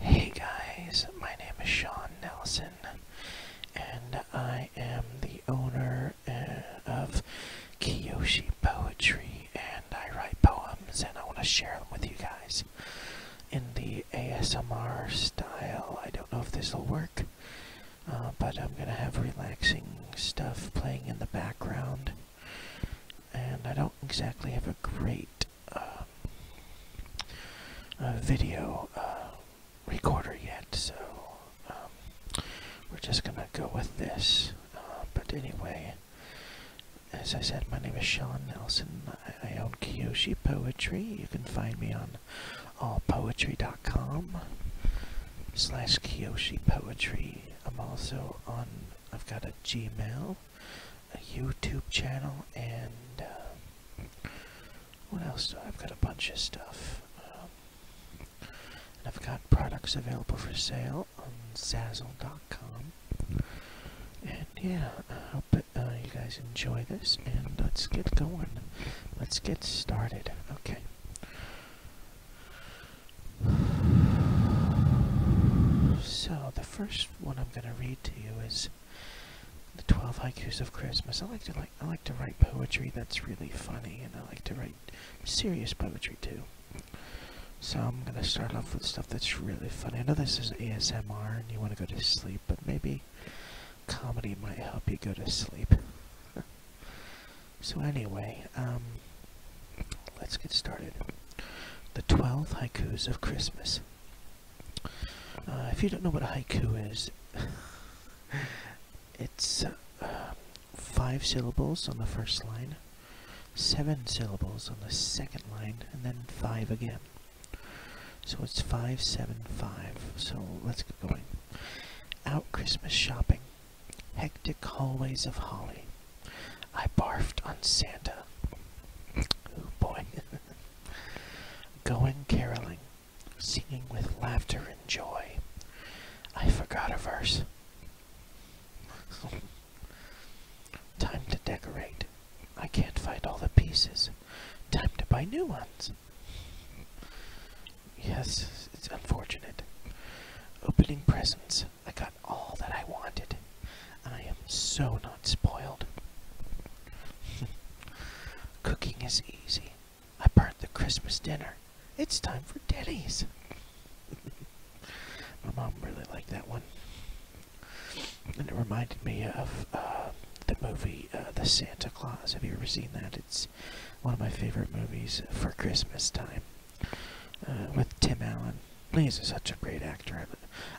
Hey guys, my name is Sean Nelson, and I am the owner uh, of Kiyoshi Poetry, and I write poems, and I want to share them with you guys in the ASMR style. I don't know if this will work, uh, but I'm going to have relaxing stuff playing in the background, and I don't exactly have a great uh, a video uh, recorder yet, so um, we're just gonna go with this. Uh, but anyway, as I said, my name is Sean Nelson. I, I own Kiyoshi Poetry. You can find me on allpoetry.com slash Kiyoshi Poetry. I'm also on, I've got a Gmail a YouTube channel, and uh, what else I have? Got a bunch of stuff. Um, and I've got products available for sale on Zazzle.com. And yeah, I hope uh, you guys enjoy this, and let's get going. Let's get started. Okay. So, the first what I'm going to read to you is the 12 haikus of Christmas. I like to like I like to write poetry that's really funny, and I like to write serious poetry too. So I'm going to start off with stuff that's really funny. I know this is ASMR and you want to go to sleep, but maybe comedy might help you go to sleep. so anyway, um, let's get started. The 12 Haikus of Christmas. Uh, if you don't know what a haiku is, it's uh, five syllables on the first line, seven syllables on the second line, and then five again. So it's 575. So let's get going. Out Christmas shopping. Hectic hallways of holly. I barfed on Santa. Oh boy. Going caroling, singing with laughter and joy. I forgot a verse. Time to decorate. I can't find all the pieces. Time to buy new ones. Yes, it's unfortunate. Opening presents. I got all that I wanted. I am so not spoiled. Cooking is easy. I burnt the Christmas dinner. It's time for Denny's. My mom really liked that one. And it reminded me of uh, the movie uh, The Santa Claus. Have you ever seen that? It's one of my favorite movies for Christmas time. Uh, with Tim Allen. He's such a great actor.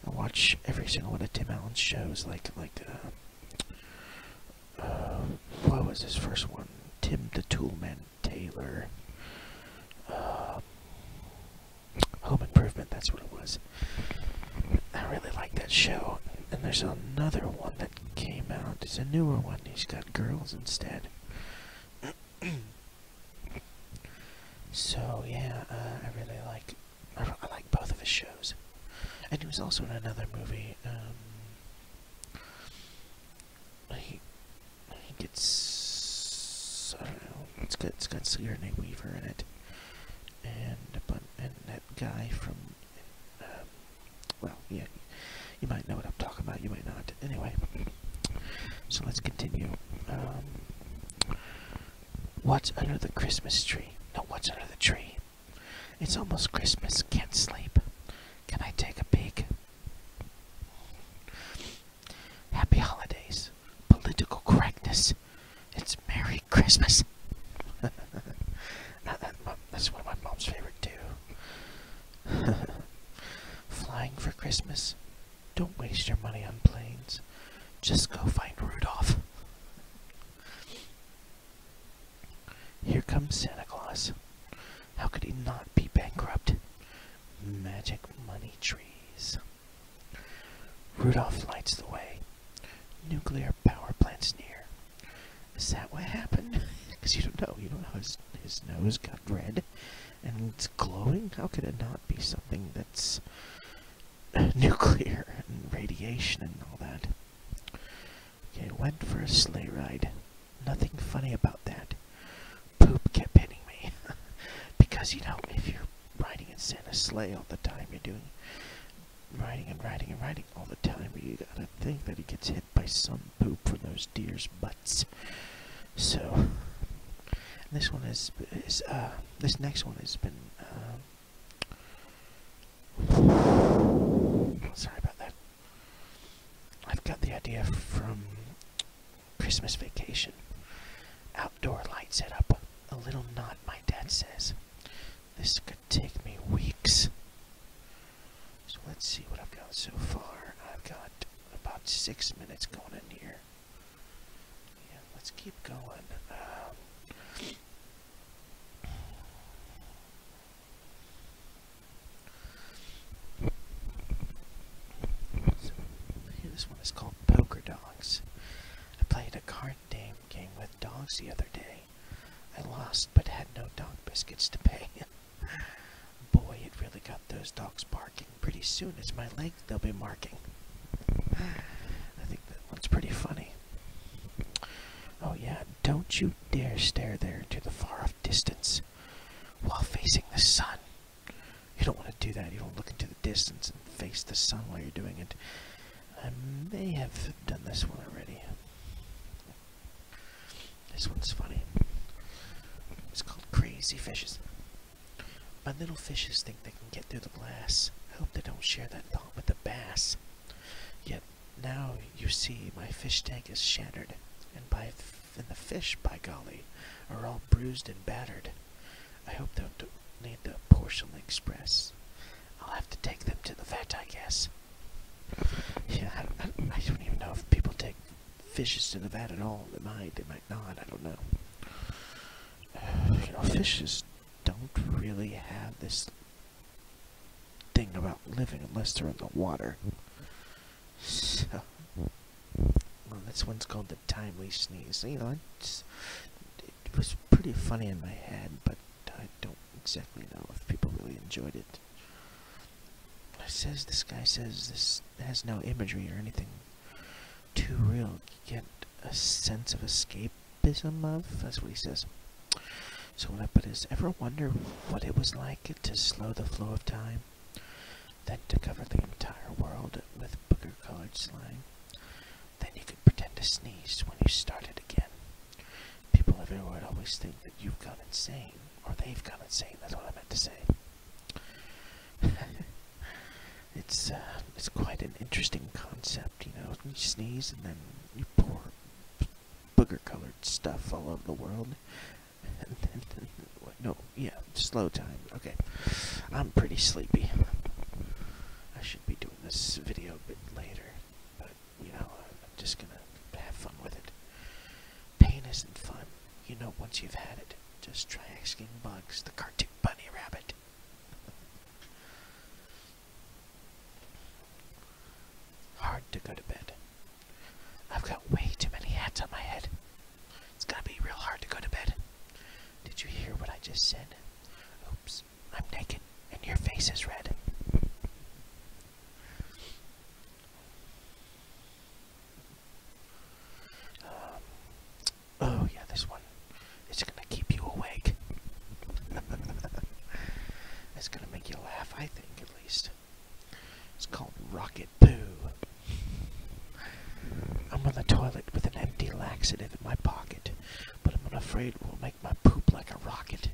I, watch every single one of Tim Allen's shows. Like like uh, uh what was his first one? Tim the Toolman Taylor. Uh, Home Improvement. That's what it was. I really like that show. And there's another one that came out. It's a newer one. He's got girls instead. So yeah, uh, I really like I, like both of his shows, and he was also in another movie. Um, he he I don't know. It's got it's got Sigourney Weaver in it, and but and that guy from um, well yeah, you might know what I'm talking about. You might not. Anyway. So let's continue. Um, what's under the Christmas tree? No, what's under the tree? It's almost Christmas. Can't sleep. Can I take a peek? Happy holidays. Political correctness. It's Merry Christmas. that's one of my mom's favorite too. Flying for Christmas. Don't waste your money on planes. Just go find Rudolph. Here comes Santa Claus. How could he not be bankrupt? Magic money trees. Rudolph lights the way. Nuclear power plants near. Is that what happened? Because you don't know. You don't know his, his nose got red and it's glowing? How could it not be something that's nuclear and radiation and all that? Okay, went for a sleigh ride. Nothing funny about that. Poop kept hitting me. because, you know, if you're riding in Santa's sleigh all the time, you're doing riding and riding and riding all the time, but you gotta think that he gets hit by some poop from those deer's butt so this one is is uh, this next one has been. Um, sorry about that. I've got the idea from Christmas vacation. Outdoor light setup. A little knot, my dad says. This could take me weeks. So let's see what I've got so far. I've got about six minutes going in here. Yeah, let's keep going. Um, this one is called Poker Dogs. I played a card game game with dogs the other day. I lost but had no dog biscuits to pay. Boy, it really got those dogs barking. Pretty soon it's my leg they'll be marking. I think that one's pretty funny. Oh yeah, don't you dare stare there to the far-off distance while facing the sun. You don't want to do that. You don't look into the distance and face the sun while you're doing it. I may have done this one already. This one's funny. It's called Crazy Fishes. My little fishes think they can get through the glass. I hope they don't share that thought with the bass. Yet now you see my fish tank is shattered, and by and the fish, by golly, are all bruised and battered. I hope they'll do, need the porcelain express. I'll have to take them to the vet, I guess. Yeah, I don't even know if people take fishes to Nevada at all. They might, they might not, I don't know. you know, fishes don't really have this thing about living unless they're in the water. So, well, this one's called the timely sneeze. You know, it was pretty funny in my head, but I don't exactly know if people really enjoyed it says this guy says this has no imagery or anything too real. You get a sense of escapism of that's what he says. So what I put is ever wonder what it was like to slow the flow of time, then to cover the entire world with booger colored slime. Then you could pretend to sneeze when you started again. People everywhere always think that you've gone insane or they've gone insane. That's what I meant to say. it's uh, it's quite an interesting concept, you know. You sneeze and then you pour booger-colored stuff all over the world. no, yeah, slow time. Okay, I'm pretty sleepy. I should be doing this video a bit later, but you know, I'm just gonna have fun with it. Pain isn't fun. You know once you've had it. Just try asking Bugs, the cartoon bunny rabbit. Hard to go to bed. I've got way too many hats on my head. It's gonna be real hard to go to bed. Did you hear what I just said? Oops, I'm naked and your face is red. Um, oh yeah, this one. It's gonna keep you awake. it's gonna make you laugh, I think, at least. It's called Rocket Poo. I'm on the toilet with an empty laxative in my pocket, but I'm afraid it will make my poop like a rocket.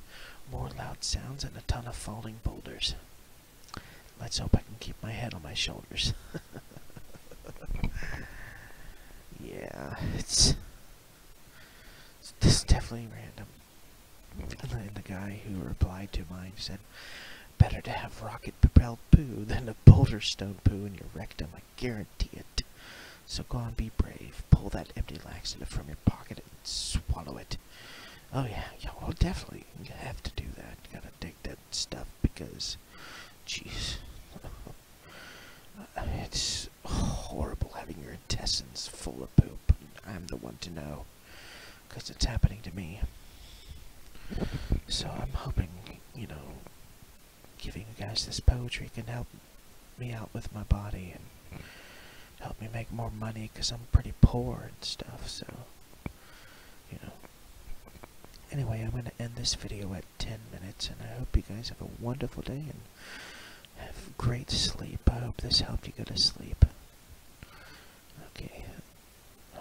More loud sounds and a ton of falling boulders. Let's hope I can keep my head on my shoulders. yeah, it's, this is definitely random. And the guy who replied to mine said, "Better to have rocket-propelled poo than a boulder stone poo in your rectum. I guarantee it. So go on, be brave. Pull that empty laxative from your pocket and swallow it." Oh yeah, yeah, we'll definitely have to do that. Gotta take that stuff because, jeez, it's horrible having your intestines full of poop. I'm the one to know, because it's happening to me. So I'm hoping, you know, giving you guys this poetry can help me out with my body help me make more money because I'm pretty poor and stuff, so, you know. Anyway, I'm going to end this video at 10 minutes, and I hope you guys have a wonderful day and have great sleep. I hope this helped you go to sleep. Okay. Uh,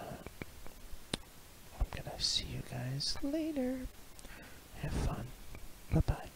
I'm going to see you guys later. Have fun. Bye-bye.